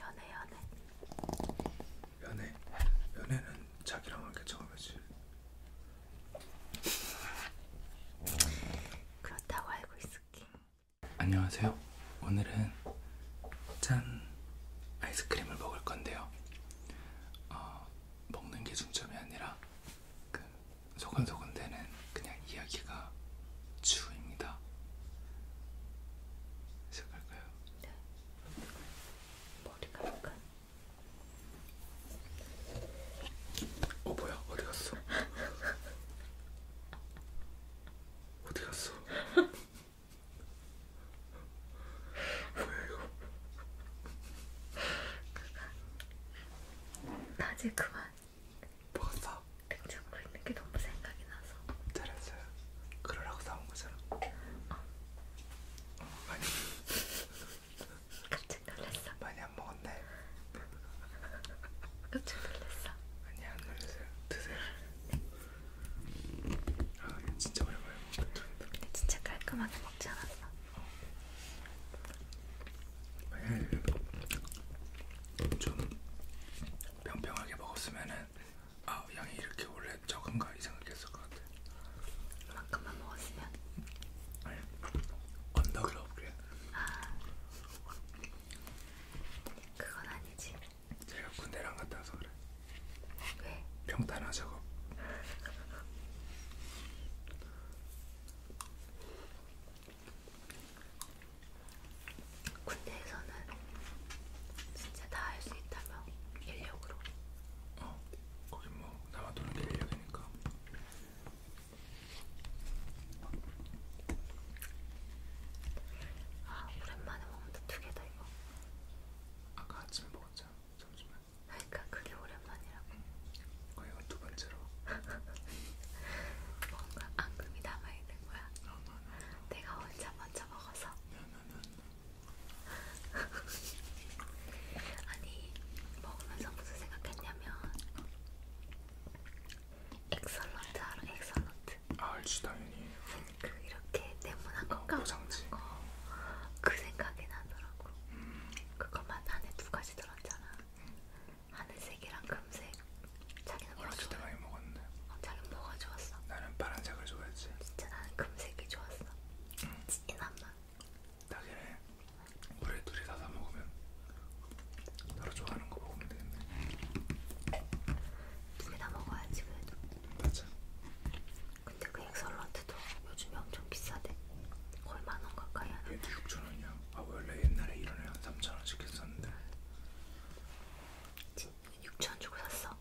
연애 연애 연애 연애는 자기랑 할게 처음이지 그렇다고 알고 있을게 안녕하세요 오늘은 짠 아이스크림을 먹을 건데요 어, 먹는 게 중점이 아니라 그 소곤소곤 되는 그냥 이야기가 주입니다. 시작할까요? 네. 머리가 약간. 어 뭐야? 어디 갔어? 어디 갔어? 뭐야 이거? 낮에 그만. 먹었어? 냉장고에 있는 게 너무 생각이 나서 잘했어요 그러라고 사온 거잖아 어. 어, 많이 깜짝 놀랐어 많이 안 먹었네 깜짝 놀랐어 아니 안 놀랐어요 드세요 아 진짜 오랜만에 먹는다 근데 진짜 깔끔하게 먹지 않았어 어. 아, 아니, 예, 예. 좀 평평하게 먹었으면은 아 양이 이렇게 원래 적은가 이 생각했을 것 같아. 그만큼만 먹었으면. 아니 언더그로 그래. 아 그건 아니지. 제가 군대랑 갔다 와서 그래. 왜? 평탄화 작업. 군대에서는 진짜 다 할 수 있다며 인력으로. 어, 거기 뭐 나만 도는 게 인력이니까. 아 오랜만에 먹는다 두개다 이거. 아까 아침 먹었잖아. 잠시만. 그러니까 그게 오랜만이라고. 응. 거의 두 번째로. 뭔가 앙금이 남아 있는 거야. 내가 혼자 먼저 먹어서. 아니 먹으면서 무슨 생각했냐면 엑설런트 알아? 엑설런트. 아, 알지 당연히. 네, 그 이렇게 네모난 거 어, 까먹는 거. 그 생각이 나더라고. 음. 그것만 안에 두 가지 들었잖아. 하늘색이랑 금색. 자기는 뭐가 좋아? 때 많이 먹었는데. 어, 자기는 뭐가 좋았어? 나는 파란색을 좋아했지. 진짜 나는 금색이 좋았어. 응. 진한 맛. 나기네. 우리 둘이 다사 먹으면 서로 좋아하는 거 먹으면 되겠네. 둘이 다 먹어야지 그래도. 맞아. 근데 그 엑설런트도 요즘에 엄청 비싸대. 거의 만원 가까이 하는. 얘도 6천 원이야. 아 원래 옛날에 이런 애한 3천 원씩 했었는데. 6천원 주고 샀어?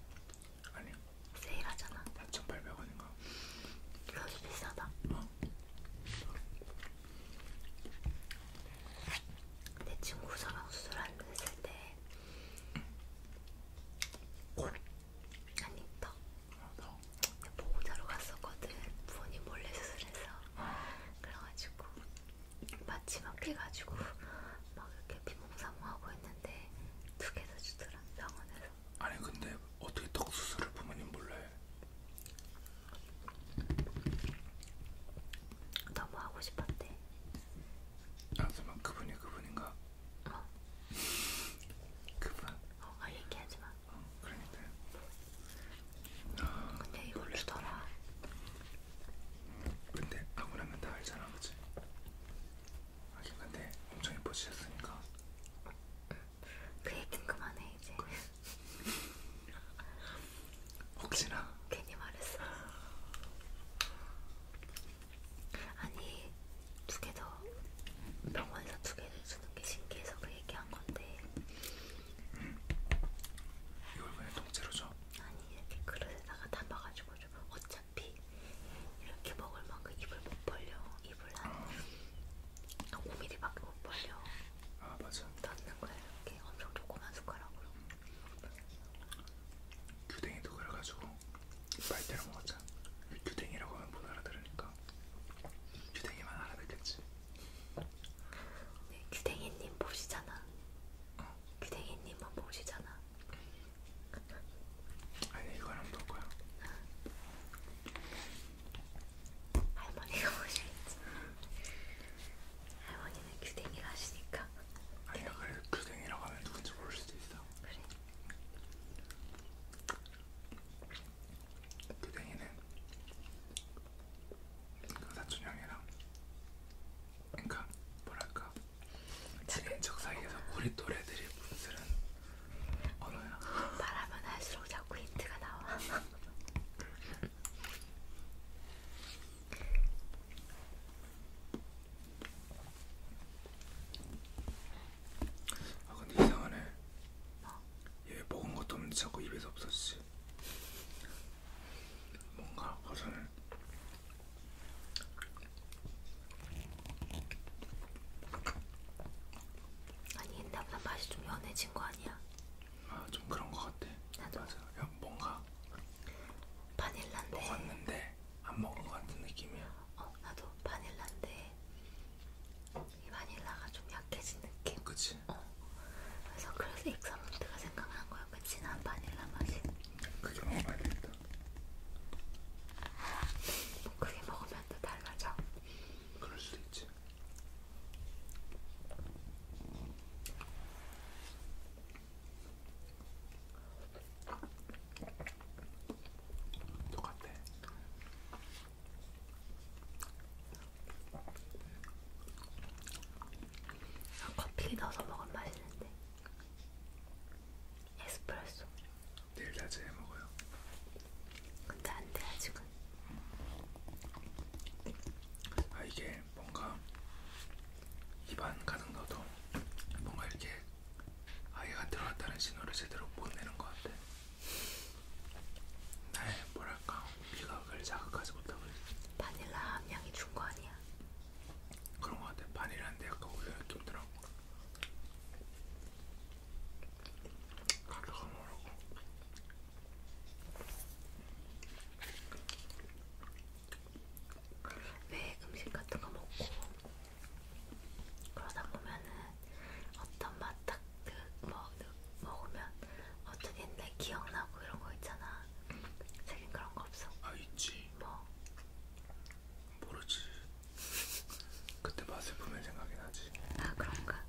아니요 세일하잖아 4,800원인가? 그래서 비싸다 어? 내 친구 저랑 수술 안 했을 때 곧? 아니 더. 아, 더? 보호자로 갔었거든 부모님 몰래 수술해서 아. 그래가지고 마지막 해가지고 막 이렇게 비몽사몽하고 있는데 두 개도 주더라 병원에서. 아니 근데 어떻게 떡 수술을 부모님 몰래? 너무 하고 싶었대. 아 잠깐 그분이 그분인가? 어. 그분. 어, 아, 얘기하지 마. 어, 그러니까. 근데 이걸로 주더라. 근데 하고 나면 다 알잖아, 그치? 하긴 근데 엄청 예뻐지셨으니까. 그 얘긴 그만해 이제. 그래. 혹시나. 괜히 말했어. 아니 두 개더 병원에서 두 개를 주는 게 신기해서 그 얘기한 건데 이걸 그냥 통째로 줘? 아니 이렇게 그릇에다가 담아가지고 줘. 어차피 이렇게 먹을 만큼 입을 못 벌려. 입을 한 어. 5mm밖에 못 벌려. 아 맞아. 넣는 거야 이렇게 엄청 조그만 숟가락으로. 규댕이도 그래가지고 빨대로 먹었잖아. 규댕이라고 하면 못 알아들으니까. 규댕이만 알아듣겠지. 네, 규댕이님 보시잖아. 어? 규댕이님만 보시잖아. 아니 이거랑 볼 거야. 할머니가 보시겠지. 할머니는 규댕이를 하시니까. 아니야 그래 규댕이라고 하면 누군지 모를 수도 있어. 그래. 규댕이는 그 사촌 형이랑 그러니까 뭐랄까 친척 사이에서 우리 또래들이 분들은 언어야. 말하면 할수록 자꾸 힌트가 나와. 아 근데 이상하네. 뭐? 얘 먹은 것도 없는데 자꾸 입에서 없어지지. 맛있지. 뭔가 버섯을 아니 옛날보다 맛이 좀 연해진 거 아니야? 아 좀 그런 거 같아. 나도 맞아. 야, 뭔가 바닐라인데 먹었는데 안 먹은 거 같은 느낌이야. 어 나도 바닐라인데 이 바닐라가 좀 약해진 느낌? 그치 어. 그래서 그래서 익사몬드가 생각난 거야 그 진한 바닐라 맛이 그게 먹어봐야 뭐 겠다 뭐 그게 먹으면 또 달라져 그럴 수도 있지 똑같아 커피 넣어서 먹으면 맛있는데 에스프레소 내일 낮에 해먹어요 근데 안 돼 아직은 아 이게 뭔가 입안 가득 넣어도 뭔가 이렇게 아이가 들어왔다는 신호를 제대로 못 내는 것 같아 나의 뭐랄까 미각을 자극하지 못하고 바닐라 함량이 준거 아니야? 그런 거 같아. 바닐라인데 약간 우유 느낌 더라고 가루가 모르고. 왜 음식 같은 거 먹고 그러다 보면은 어떤 맛딱 먹, 먹으면 어떻게 옛날 기억나고 이런 거 있잖아. 책임 그런 거 없어? 아 있지. 뭐? 모르지. 그때 맛을 보면 생각이 나지. 아 그런가?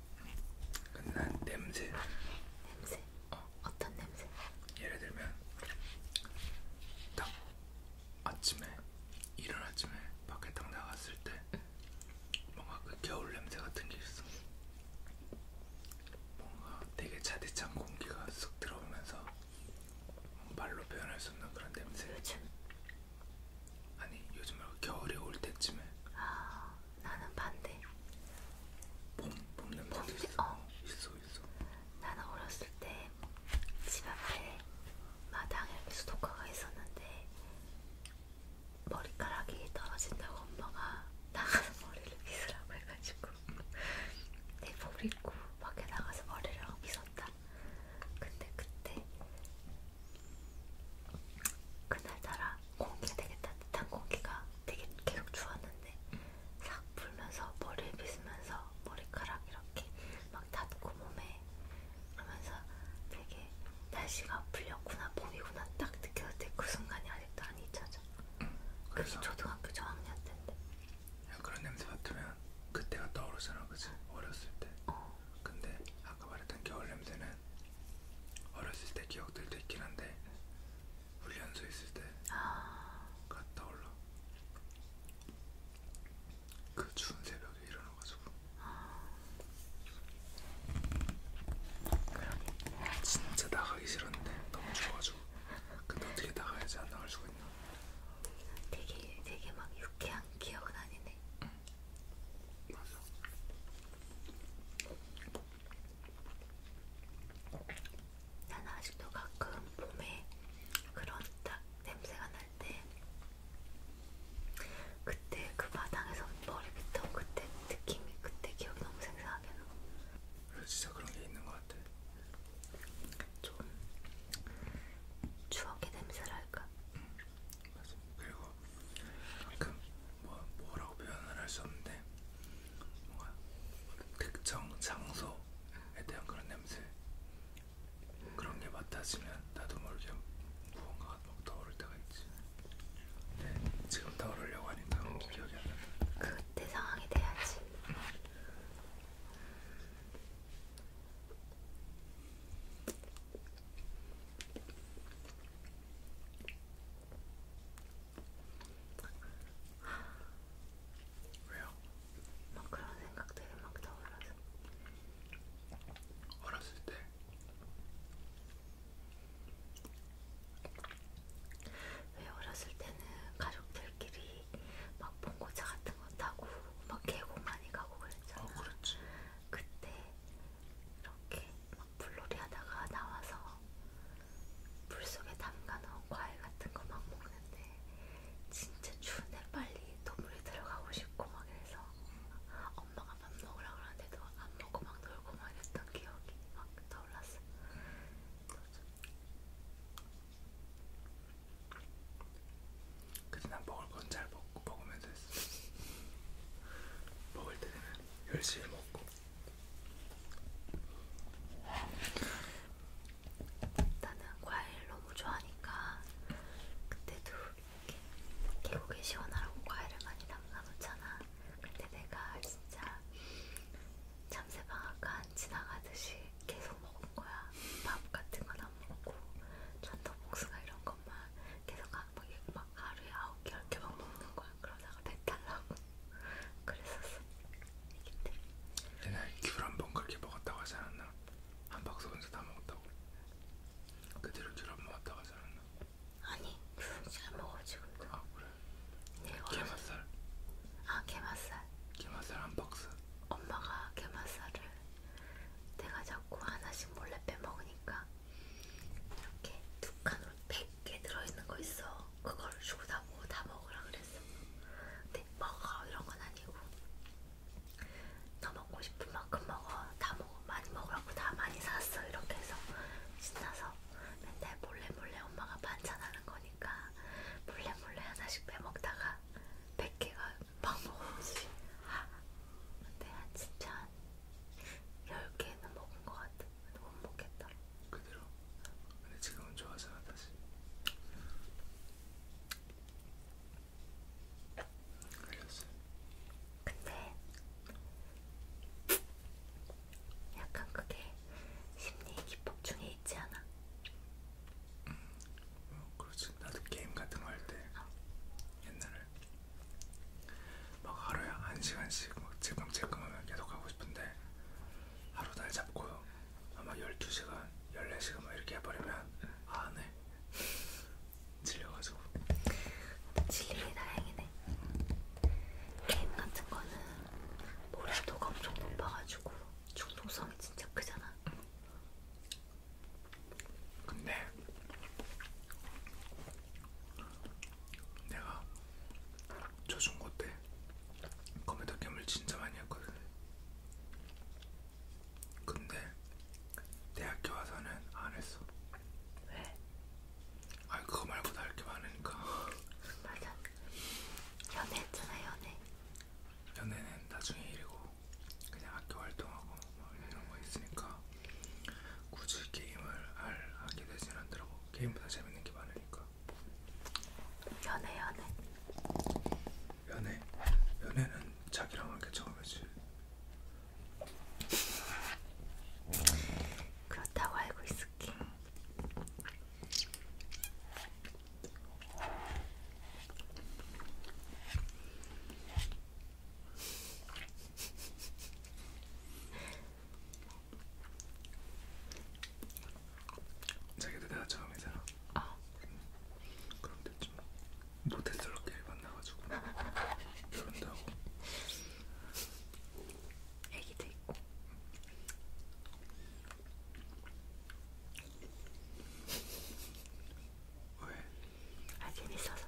근데 난 냄새. 냄새? 어. 어떤 냄새? 예를 들면 딱 아침에 일어날 아침에 밖에 딱 나갔을 때. 뭔가 그 겨울 냄새 같은 게 있어. 뭔가 되게 차디찬 공기가 쑥 들어오면서 말로 표현할 수 없는 그런 냄새. 요즘? 그렇죠. 아니 요즘 말고 겨울이 올 때쯤에. 아 나는 반대. 봄, 봄 냄새도 봄, 있어. 어. 있어 있어. 나는 어렸을 때 집 앞에 마당에 이렇게 수도가가 있었는데 머리카락이 떨어진다고 엄마가 나가서 머리를 빗으라고 해가지고 내복 입고 밖에 나가서 머리를 하고 빗었다. 근데 그때 그날따라 공기가 되게 따뜻한 공기가 되게 계속 주었는데 싹 불면서 머리에 빗으면서 머리카락 이렇게 막 닿고 몸에 그러면서 되게 이상하게 날씨가 풀렸구나 봄이구나 딱 느꼈을 때그 순간이 아직도 안 잊혀져. 그게 초등학교 저학년 때인데. 그런 냄새 맡으면 그때가 떠오르잖아, 그치? 어렸을 때. 어. 근데 아까 말했던 겨울 냄새는 어렸을 때 기억들도 있긴 한데 훈련소 있을 때가 아. 떠올라. 그 추운 새벽에 일어나가지고. 그러니 진짜 나가기 싫었는데 너무 추워가지고 근데 어떻게 나가야지 안 나갈 수가 있나? 되게 되게 막 유쾌한 기억은 아니네. 응. 맞아. 난 아직도 가끔 봄에 그런 딱 냄새가 날때 그때 그 바닥에서 머리부터 그때 느낌이 그때 기억이 너무 생생하게 나. 그래 진짜 그런 게 있는 것 같아. 좀 추억의 냄새랄까. 응, 음, 맞아. 그리고 그 뭐, 뭐라고 표현을 할 수 없는데 뭔가 특정 장소에 대한 그런 냄새 그런 게 맡아지면 나도 모르게 무언가가 막 떠오를 때가 있지. 지금 다 오르려고 하니까 기억이 안 나. 그때 상황이 돼야지. 왜요? 막 그런 생각들이 막 떠올라서. 어렸을 때왜 어렸을 때는 가족들끼리 막 봉고차 같은 거 타고 막 계곡 많이 가고 그랬잖아. 어, 그렇지. 그때 이렇게 막 불놀이 하다가 나와서 물 속에 담가놓은 과일 같은 거 막 먹는데 진짜 추운데 빨리 또 물에 들어가고 싶고 막 이래서 엄마가 밥 먹으라 그러는데도 안 먹고 막 놀고 막 이랬던 기억이 막 떠올랐어. 그치 난 먹을 건 잘 먹고 먹으면서 했어. 먹을 때는 열심히 먹고. 나는 과일 너무 좋아하니까 그때도 이렇게 계곡에 시원하라고 과일을 많이 담가놓잖아. 근데 내가 진짜 잠새방학간 지나가듯이 계속 먹은 거야. 밥 같은 건 안 먹고 전통 복숭아 이런 것만 계속 막, 뭐 막 하루에 아홉 개, 열 개만 먹는 거야. 그러다가 배탈 나고 그랬었어. 이때. 내가 귤 한 번 그렇게 먹었다고 하지 않았나? 한 박스 혼자 다 먹었다고. 그대로 귤 한 번 먹었다고 하지 않았나? 아니 그건 잘 먹어 지금도. 아 그래. 예, 게맛살. 아 게맛살. 게맛살 한 박스. 엄마가 게맛살을 내가 자꾸 하나씩 몰래 빼먹으니까 이렇게 두 칸으로 100개 들어있는 거 있어. 그거를 주고 나보고 다 먹으라 그랬어. 근데 먹어 이런 건 아니고 너 먹고 싶은 만큼 먹어. 다뭐 많이 먹으라고 다 많이 샀어 이렇게 해서 신나서 맨날 몰래 몰래 엄마가 반찬하는 거니까 몰래 몰래 하나씩 빼먹다가 100개가 막 먹었지 근데 한 진짜 한 10개는 먹은 것 같아 근데 못 먹겠다 그대로? 근데 지금은 좋아서 다시 걸렸어요. 근데 약간 그게 심리 기법 중에 있지 않아? 음, 어, 그렇지. 나도 게임 같은 거 할때 어. 옛날에 막 하루에 한 시간씩 막 찔끔찔끔하면 계속 하고 싶은데 하루 날 잡고 아마 12시간, 14시간 막 이렇게 해버리면 아, 안 해. 질려가지고. 질리기 다행이네. 게임 같은 거는 몰입도가 엄청 높아가지고 중독성이 진짜 크잖아. 근데 내가 초중고 때 컴퓨터 게임을 진짜 많이 했거든. 근데 대학교 와서는 안 했어. 왜? 아 그거 말고도 할게 많으니까. 맞아. 연애했잖아 연애. 연애는 나중에 일이고 그냥 학교 활동하고 뭐 이런 거 있으니까 굳이 게임을 할 하게 되진 않더라고. 게임보다 재밌는 게 많으니까. 연애 연애. 연애 연애는 자기랑 하게 처음이지. 그렇다고 알고 있을게. 자기도 내가 처음이잖아. 아. 응. 음, 그럼 됐지 뭐. 모태솔로끼리 만나가지고 그런다고 애기도 있고 왜? 아 재밌어서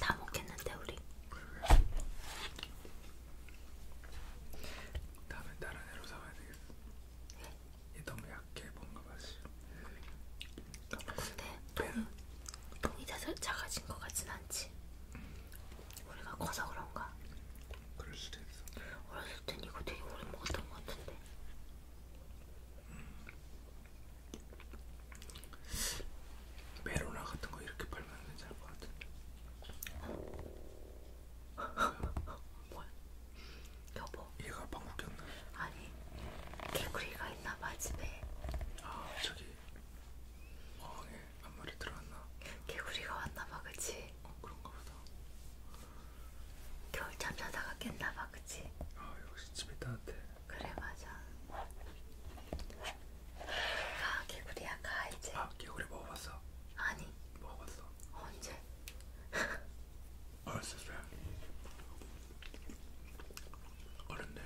다 먹겠는데 우리 왜 왜? 다음에 다른 애로 사와야 되겠어 예? 얘 너무 약해 뭔가 맛이. 근데 돈 돈이 다 작아진 것 같진 않지. 우리가 커서 그런가? 그럴 수도 있어. 어렸을 땐 이거 되게 오래 먹었던 것 같은데. 메로나 같은 거 이렇게 팔면 괜찮을 것 같은데. 뭐야? 여보. 얘가 방구 꼈나? 아니 개구리가 있나봐 집에. 아 저기 어항에 한 마리 들어왔나? 개구리가 왔나봐 그치? 어 그런가 보다. 겨울잠 자다가 깼나봐 그치? 아 역시 집이 따뜻해. 그래 맞아. 가 개구리야 가 이제. 아 개구리 먹어봤어? 아니. 먹어봤어. 언제? 어렸을 때 어른들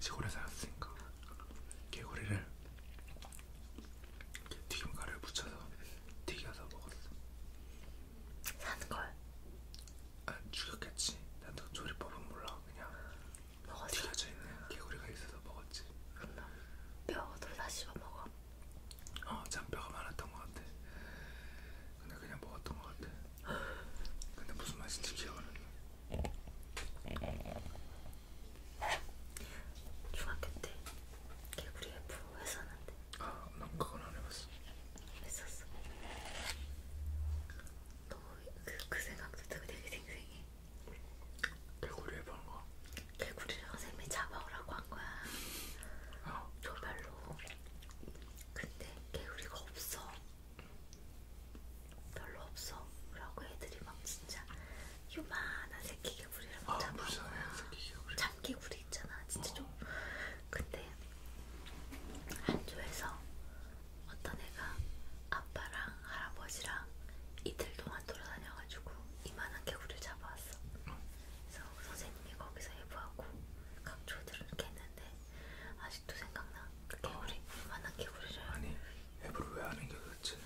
시골에 살았으니까 개구리를 튀김가루에 묻혀서 튀겨서 먹었어. 산 걸? 안 아, 죽였겠지. 나도 조리법은 몰라. 그냥 먹었어. 튀겨져 있는 개구리가 있어서 먹었지. 뼈도 다 씹어 먹어. 어 잔뼈가 많았던 것 같아. 근데 그냥 먹었던 것 같아. 근데 무슨 맛인지 기억 안 나. 중학교 때 개구리 F 했었는데. 아, 난 그건 안 해봤어. 했었어. 너무 그, 그 생각도 되게 생생해. 개구리 F 한거 개구리를 선생님이 잡아오라고 한 거야. 조별로. 아. 근데 개구리가 없어. 별로 없어. 그러고 애들이 막 진짜 요만한 새끼 개구리를 막 아, 잡아온 거야. 참개구리 있잖아. 진짜 어. 좀. 근데 한조에서 어떤 애가 아빠랑 할아버지랑 이틀 동안 돌아다녀가지고 이만한 개구리를 잡아왔어. 그래서 선생님이 거기서 예보하고 각조들을 캤는데 아직도 생각나? 그 개구리 어. 이만한 개구리를 아니 예보를 왜 하는 게 그렇지?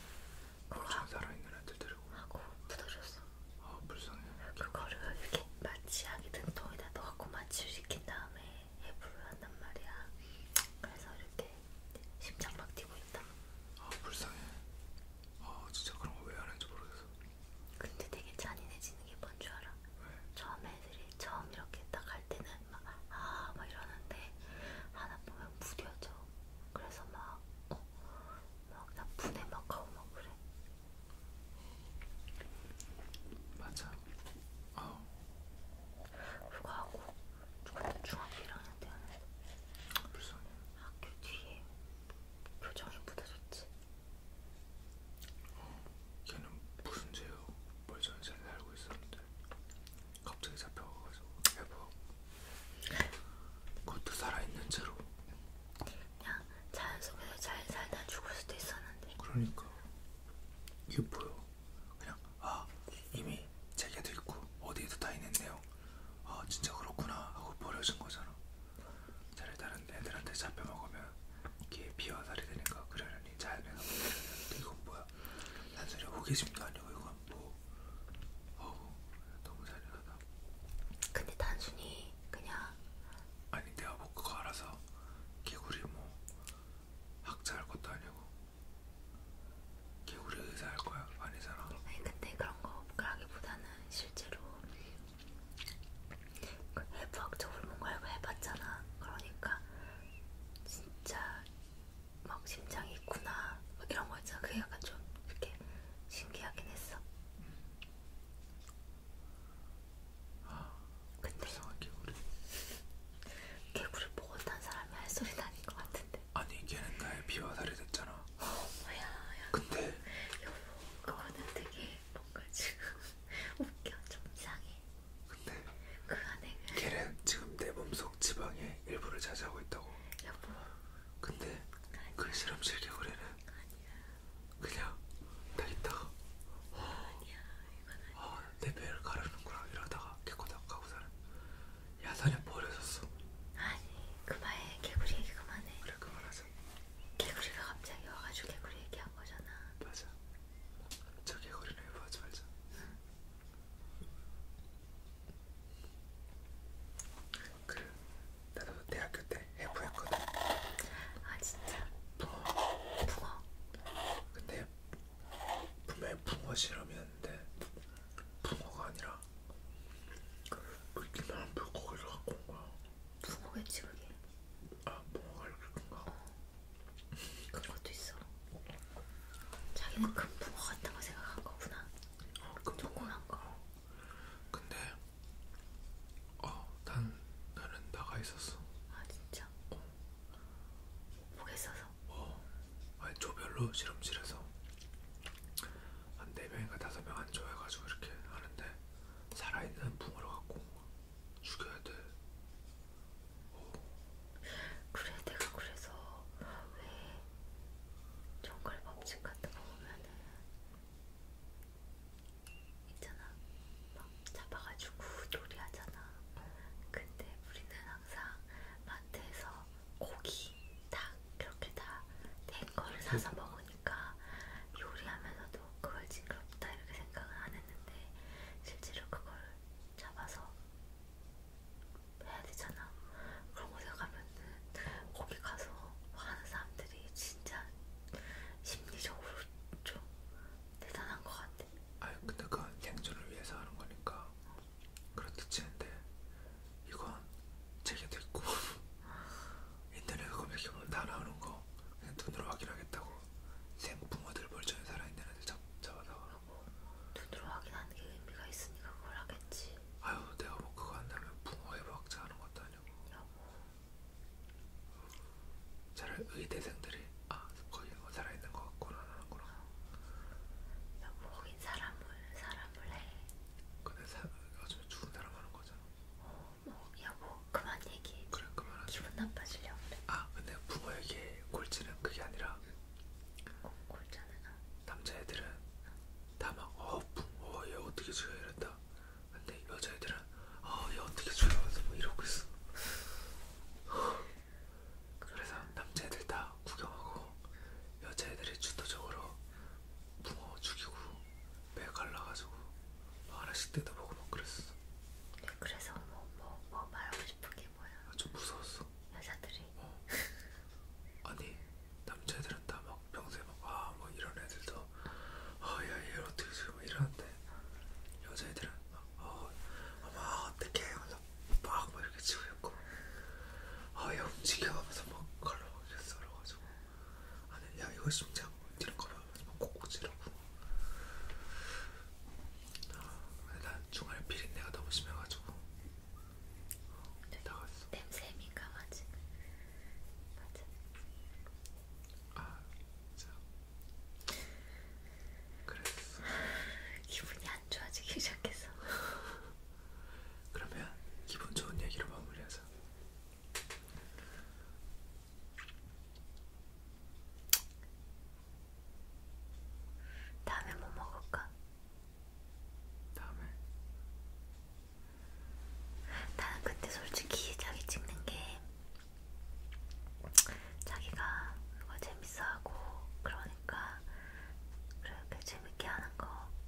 그거 살아있는 애들 데리고 하고 부더렸어. 아 불쌍해. 그거를 이렇게 마취하기 등통에다 넣고 마취를 시킨 다음에 예보를 한단 말이야. 그래서 이렇게 심장 막 뛰고 있다. 아 불쌍해. 아 진짜 그런 거 왜 하는지 모르겠어. 근데 되게 잔인해지는 게 뭔 줄 알아? 왜? 처음 애들이 처음 이렇게 딱할 때는 막아막 아, 막 이러는데 하나 보면 무뎌져. 그래서 막 어? 막 나쁜애 막 가고 막 그래. 맞아. 어. 그거 하고 근데 중학교랑 하는데 불쌍해 학교 뒤에 교정이 묻어졌지 어, 걔는 무슨 죄요? 멀쩡히 잘 살고 있었는데 갑자기 잡혀가가지고 여보 그것도 살아있는 채로 그냥 자연 속에서 잘 살다 죽을 수도 있었는데 그러니까 이게 뭐요? 그냥 아 이미 제게도 있고 어디에도 다 있는 내용 아 진짜 그렇구나 하고 버려진 거잖아. 차라리 다른 애들한테 잡혀 먹으면 귀에 비와살이 되니까 그러려니 자연애가 먹으려는데 이건 뭐야? 단순히 호기심도 아니고 이건 뭐 어우 너무 잔인하다. 근데 단순히 그냥 아니 내가 뭐 그거 알아서 개구리 뭐 학자할 것도 아니고 개구리 의사 할 거야, 아니잖아. 아니 근데 그런 거라기보다는 실제로 그 해부학적으로 뭔가 알고 해봤잖아. 그러니까 진짜 막 심장이 있구나 막 이런 거 있잖아. 그게 약간 좀 이렇게 신기하긴 했어. 아, 근데 불쌍한 개구리. 개구리 보고 딴 사람이 할 소리는 아닌 것 같은데. 아니 걔는 나의 비와살이 됐잖아. 어, 뭐야, 야. 근데 여보, 그거는 되게 뭔가 지금 웃겨 좀 이상해. 근데 그 안에 그 걔는 지금 내 몸 속 지방의 일부를 차지하고 있다고. 여보. 근데 그 실험실 개구리는 아니야. 그냥 다 있다가 아니야 이건 아니야. 아, 내 배를 가르는구나 이러다가 개코닥 가고 사는. 야산에 버려졌어. 아니 그만해 개구리 얘기 그만해. 그래 그만하자. 개구리가 갑자기 와가지고 개구리 얘기한 거잖아. 맞아. 저 개구리는 해보지 말자. 응. 그 나도 대학교 때 해부했거든. 아 진짜? 붕어. 붕어. 근데 분명히 붕어 실험이었는데 붕어가 아니라 그렇게나 불고기를 갖고 온 거야. 무고겠지 그게. 아, 뭐가 이렇게 큰가? 큰 것도 있어. 자기는 큰 붕어 같다고 생각한 거구나. 어, 아, 큰 조그만 거. 어. 근데, 어, 난 나는 나가 있었어. 아 진짜? 어. 목에 있어서 뭐 조별로 실험실에서 한 4명인가 5명 안좋아해가지고 이렇게 하는데 살아있는 붕어를 갖고 죽여야 돼 오. 그래 내가 그래서 왜 정글 법칙 같은 거 보면은 있잖아 막 잡아가지고 놀이하잖아 근데 우리는 항상 마트에서 고기 닭 이렇게 다된걸 사서 음. 먹으니까 요리하면서도 그걸 징그럽다 이렇게 생각은 안 했는데 실제로 그걸 잡아서 해야 되잖아. 그런 곳에 가면은 거기 가서 하는 사람들이 진짜 심리적으로 좀 대단한 것 같아. 아, 근데 그 생존을 위해서 하는 거니까. 어. 그렇듯 치는데 이건 제게도 있고 인터넷 검색해 보면 다 나오는 거 그냥 눈으로 확인하겠다고 샘 붕어들 멀쩡히 살아있는 애들 잡, 잡아다가 뭐 눈으로 확인하는 게 의미가 있으니까 그걸 하겠지 아유 내가 뭐 그거 한다면 붕어 해부학자 하는 것도 아니고 여보 차라리 의대생들이 아 거기 뭐 살아있는 거 같구나 하는구나 여보 거긴 사람을 사람 안 볼래? 근데 사, 어차피 죽은 사람 하는 거잖아. 어, 뭐, 여보, 그만 얘기해. 그래, 그만하자. 기분 나빠지려고 그래. 아, 근데 부모에게 골치는 그게 아니라 어, 골자는 아. 남자애들은 다막 어, 붕, 어, 얘 어떻게 죽여 이랬다. 근데 여자애들은 어, 얘 어떻게 죽여 뭐 이러고 있어. 그래서 남자애들 다 구경하고 여자애들이 주도적으로 붕어 죽이고 배 갈라가지고 막 뭐 하나씩 뜯어보고 막 그랬어. 네, 그래서 뭐뭐뭐 뭐, 뭐 말하고 싶은 게 뭐야? 아, 좀 무서웠어. 여자들이. 어. 아니 남자애들은 다막 평소에 막아 뭐 이런 애들도 아야얘 어, 어떻게 지금 이러는데 여자애들은 막, 어 어머 어떡해 그래서 막, 막 이렇게 치고 있고 아얘 움직여가면서 막 걸러 막 이렇게 썰어가지고 아니 야 이거 심장 뒤로 걸어가면서 막 콕콕 찌르고 아, 근데 난 중간에 비린내가 너무 심해가지고 어, 네, 나갔어 냄새 민감하지? 맞아 아 진짜 그랬어 아, 기분이 안 좋아지기 시작했어 그러면 기분 좋은 얘기로 마무리하자. 다음에 뭐 먹을까? 다음에? 나는 그때 솔직히 자기 찍는 게 자기가 뭔가 재밌어하고 그러니 그러니까 그렇게 재밌게 하는 거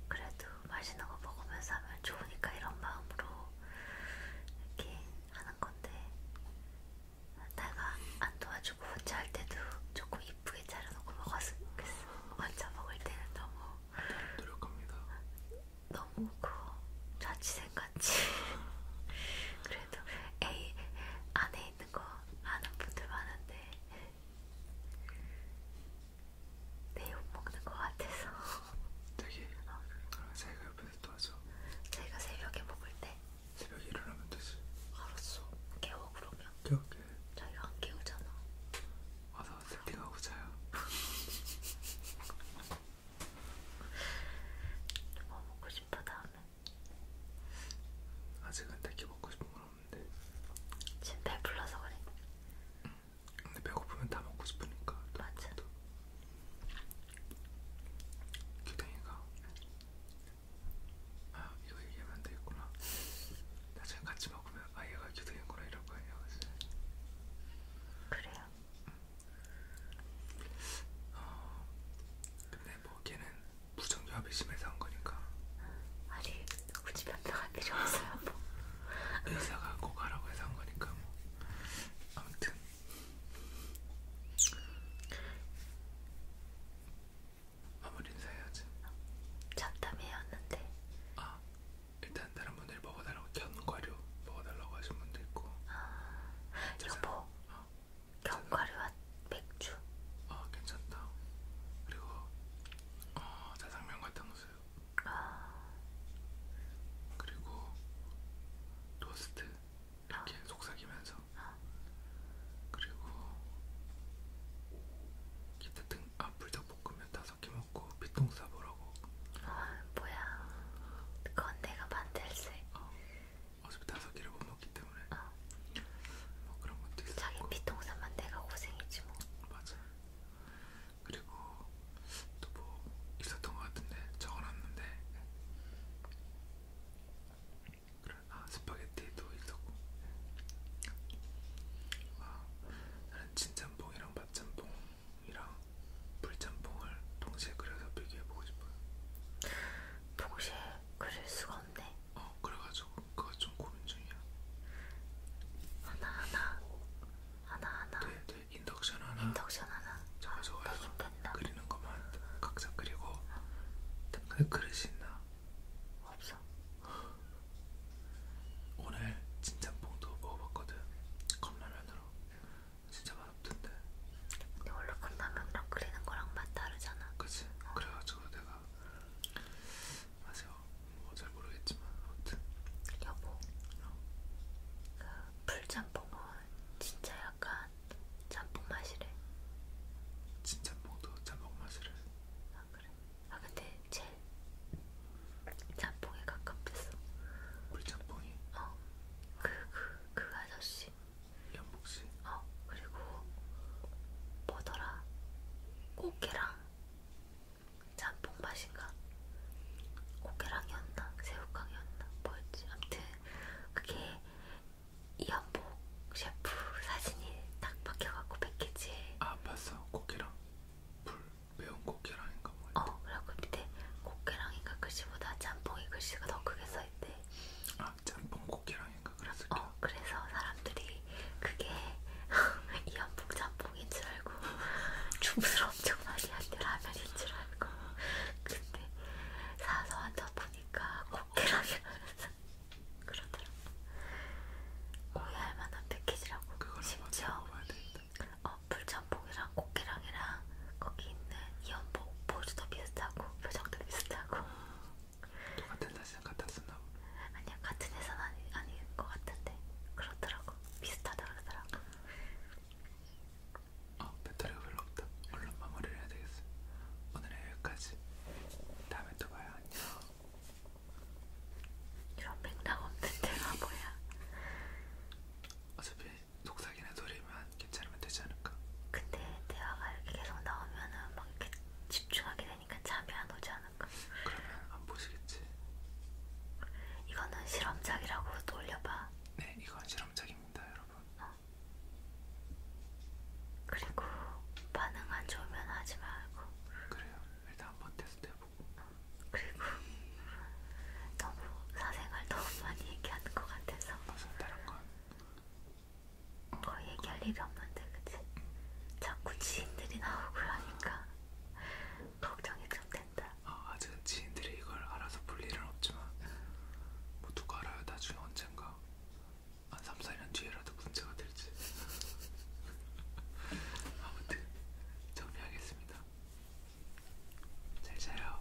그래도 맛있는 거 먹으면서 하면 좋으니까 이런 마음으로 이렇게 하는 건데 내가 안 도와주고 혼자 할 때도 조금 이쁘게 차려놓고 먹었으면 좋겠어. 혼자 먹을 때는 너무 노력합니다. 너무 그 자취생같이 그래도 A 안에 있는 거 아는 분들 많은데 내 욕먹는 것 같아서 되게 어. 그럼 자기가 옆에서 도와줘 자기가 새벽에 먹을 때 새벽에 일어나면 되지 알았어 깨워 그러면 깨울게 자기가 안 깨우잖아 와서 세팅하고 자요 뭐 먹고 싶어 다음에 아직은 딱히 먹고 싶은 건 없는데 지금 배불러서 그래 응. 근데 배고프면 다 먹고 싶으니까 맞아 또. 규댕이가 아 이거 얘기하면 안 되겠구나 나중에 같이 먹으면 아 얘가 규댕이구나 이럴 거야 그래요? 어, 근데 근데 네, 뭐 걔는 부정교합이 심해서 한 거니까. 아니 우리 집 변명할 필요 없어요. 뭐. 의사가 꼭 하라고 해서 한 거니까 뭐. 아무튼 마무리 인사해야지. 잡담이었는데. 아 일단 다른 분들 먹어달라고 견과류 먹어달라고 하신 분도 있고. 아, 여보. 어. 견과류와 맥주. 아 괜찮다. 그리고 어, 짜장면 같은 것을. 아. 그리고 토스트 이렇게 아. 속삭이면서. 아. 그리고 기타 등 아, 불닭볶음면 다섯 개 먹고 피통 싸보라고. 아 뭐야? 그건 내가 만들세. 어. 어차피 다섯 개를 못 먹기 때문에 어. 뭐 그런 것도 있었고 자기 피통사만 내가 고생했지 뭐 맞아 그리고 또 뭐 있었던 것 같은데 적어놨는데 그래 아 스파게티도 있었고 아 나는 진짬뽕이랑 맛짬뽕이랑 불짬뽕을 동시에 그려서 비교해보고 싶어요 동시에 그릴 수가 건데. 어, 그래가지고 그거 좀 고민 중이야. 하나 하나, 하나 하나. 네, 네. 인덕션 하나. 인덕션 하나. 저거 저거 아, 해서 그리는 것만 각자 그리고. 어. 근데 그릇이 있나? 없어. 오늘 진짬뽕도 먹어봤거든. 컵라면으로. 진짜 맛없던데. 근데 원래 컵라면이랑 그리는 거랑 맛 다르잖아. 그치? 어. 그래가지고 그래가지고 내가 사실 뭐잘 모르겠지만 아무튼 여보 어. 그 풀짬뽕은 진짜 약간 짬뽕 맛이래 진짬뽕도 짬뽕 맛이래 아 그래? 아 근데 제일 짬뽕에 가깝댔어 물짬뽕이? 어그 그그 그, 그 아저씨 연복씨. 어 그리고 뭐더라? 꽃게랑 짬뽕 맛인가? 꽃게랑이었나? 새우깡이었나? 뭐였지? 아무튼 그게 이연복 셰프 사진이 딱 박혀갖고 패키지에. 아 봤어 꽃게랑 불 매운 꽃게랑인가 뭐. 어 그리고 밑에 꽃게랑인가 글씨보다 짬뽕이 글씨가 더 크게 써있대. 아 짬뽕국이랑 생각을 했을게요. 어, 그래서 사람들이 그게 이한봉 짬뽕인 줄 알고 주문을 엄청 많이 한대 라면인 줄 알고 근데 사서 앉아 보니까 고기라면서 그러더라고. 오해할 만한 패키지라고. 뭐 심지어 어, 불짬뽕이랑 고기랑이랑 거기 있는 이연복 보조도 비슷하고 표정도 비슷하고 똑같은 사진 같았었나 보네. 아니야 같은 회사는 아니, 아닌 것 같은데 그렇더라고 비슷하다 그러더라고. 어 배터리가 별로 없다. 얼른 마무리를 해야 되겠어. 오늘은 여기까지. 다음에 또 봐요. 안녕. 이런 맥락 없는 데가 뭐야? 어차피 속삭이는 소리만 괜찮으면 되지 않을까? 근데 대화가 이렇게 계속 나오면은 막 이렇게 집중하게 되니까 잠이 안 오지 않을까? 그러면 안 보시겠지? 이거는 실험작이라고 또 올려봐. 네, 이건 실험작입니다, 여러분. 어. 그리고 반응 안 좋으면 하지 말고. 그래요. 일단 한번 테스트 해보고. 어. 그리고 너무 사생활 너무 많이 얘기하는 것 같아서. 무슨 다른 건더 얘기할 일이 없는데 그치? 자꾸 지인들이 나오고 그러니까 걱정이 좀 된다 아, 아직은 지인들이 이걸 알아서 볼 일은 없지만 뭐 누가 알아요 나중에 언젠가 한 3, 4년 뒤에라도 문제가 될지 아무튼 정리하겠습니다 잘 자요